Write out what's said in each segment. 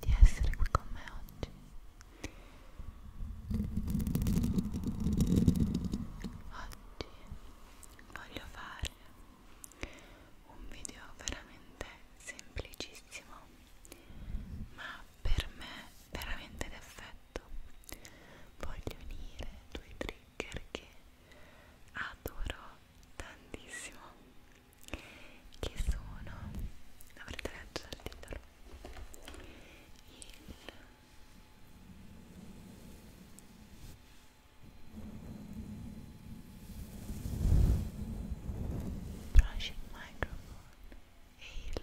di essere qui con me oggi oggi voglio fare un video veramente semplicissimo ma per me veramente d'effetto voglio unire due trigger che adoro tantissimo che sono avrete letto dal titolo il brushing microphone e il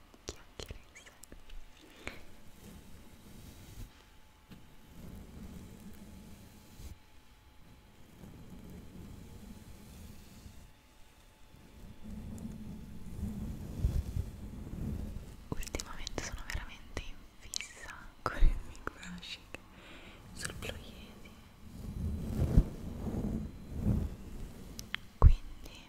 chiacchiere in sé ultimamente sono veramente in fissa con il micro brushing sul ploiesi quindi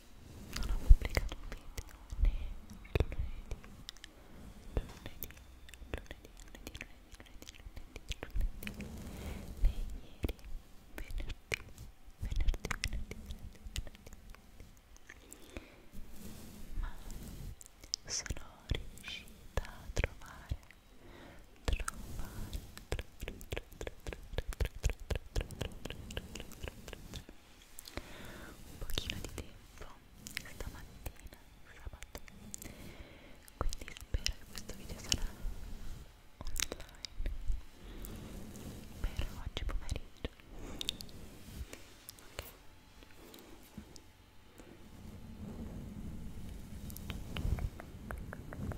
non ho pubblicato un video né lunedì, lunedì, lunedì, lunedì, lunedì, lunedì, lunedì, lunedì né ieri, venerdì, venerdì, venerdì, venerdì, venerdì ma sono riuscita a trovare trovare trovare trovare trovare trovare trovare trovare trovare trovare un pochino di tempo stamattina, sabato quindi spero che questo video sarà online per oggi pomeriggio ok Trigger, trigger, trigger,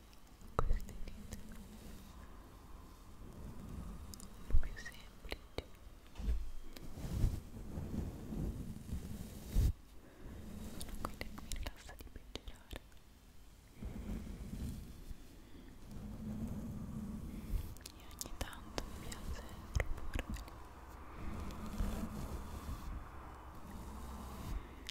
queste dita un po' più semplici sono quelle che mi rilassa di peggiorare e ogni tanto mi piace proporveli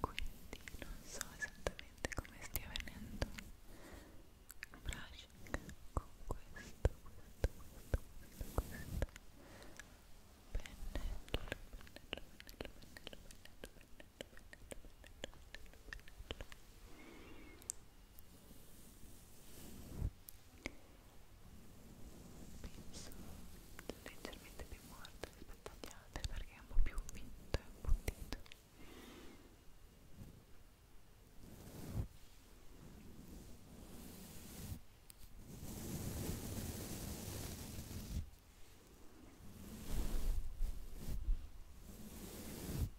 Quindi non so esattamente come stia venendo il brushing con questo, questo, questo, questo, questo pennello, pennello, pennello, pennello, pennello, pennello, pennello, pennello, pennello, pennello penso leggermente più morta rispetto agli altri perché è un po' più vinto e appuntito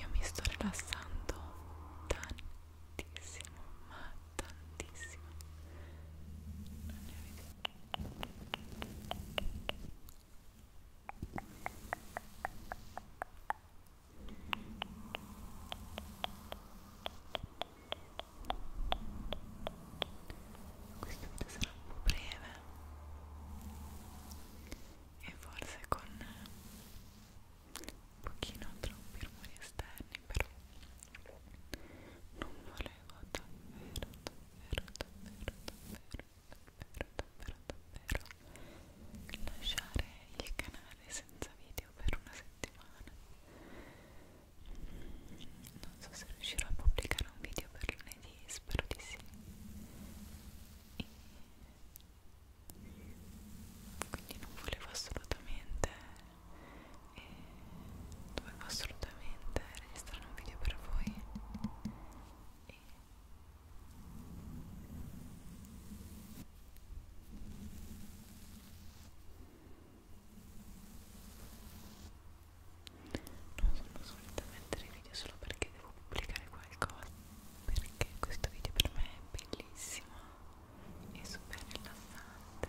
Io mi sto rilassando tantissimo, ma tantissimo. Non ne avete questo video sarà un po' breve e forse con un pochino troppi rumori esterni però non volevo davvero davvero davvero davvero davvero davvero davvero lasciare il canale senza video per una settimana non so se riuscirò a pubblicare un video per lunedì quindi spero di sì e quindi non volevo assolutamente e eh, dovevo assolutamente registrare un video per voi e non sono solita mettere video solo perché devo pubblicare qualcosa perché questo video per me è bellissimo e super rilassante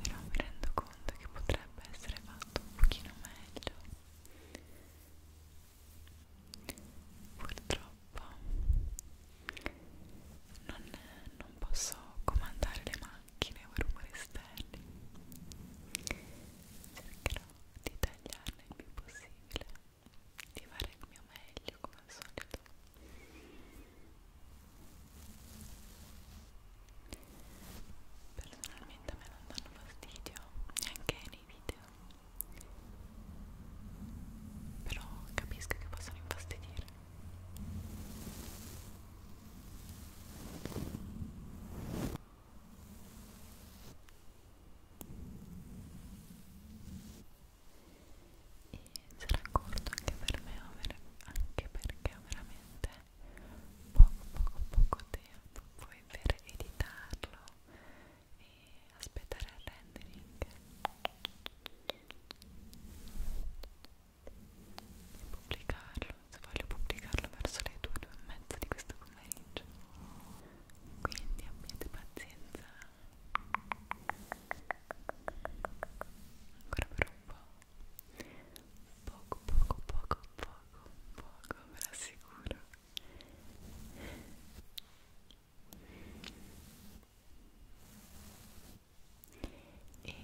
però mi rendo conto che potrebbe essere fatto un pochino meglio purtroppo non, non posso comandare le mani macchine o rumori esterni cercherò di tagliarne il più possibile di fare il mio meglio come al solito personalmente a me non danno fastidio neanche nei video però capisco che possono infastidire e sarà corto anche per me anche perché ho veramente poco poco poco tempo poi per editarlo e aspettare il rendering pubblicarlo, se voglio pubblicarlo verso le 2, 2 e mezza di questo pomeriggio quindi abbiate pazienza ancora per un po' poco, poco, poco, poco, poco, ve lo assicuro e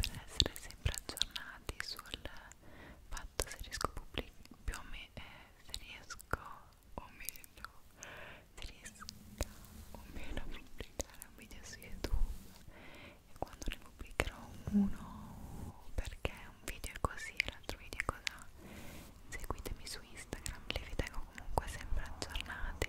per essere sempre aggiornati sul fatto se riesco a più o meno eh, se riesco o meno se riesco o meno a pubblicare un video su youtube e quando ne pubblicherò uno perché un video è così e l'altro video è cos'ha seguitemi su instagram li vi tengo comunque sempre aggiornati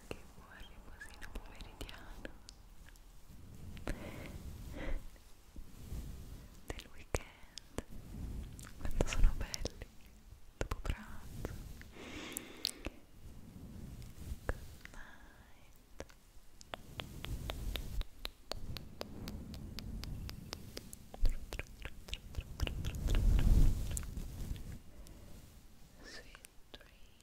anche buon riposino pomeridiano del weekend quando sono belli dopo pranzo good night sweet dreams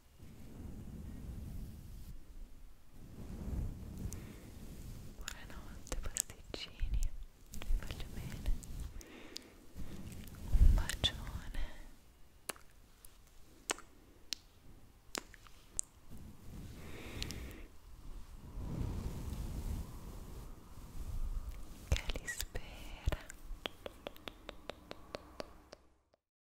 Buonanotte pasticcini, vi voglio bene. Un bacione. Che li spera.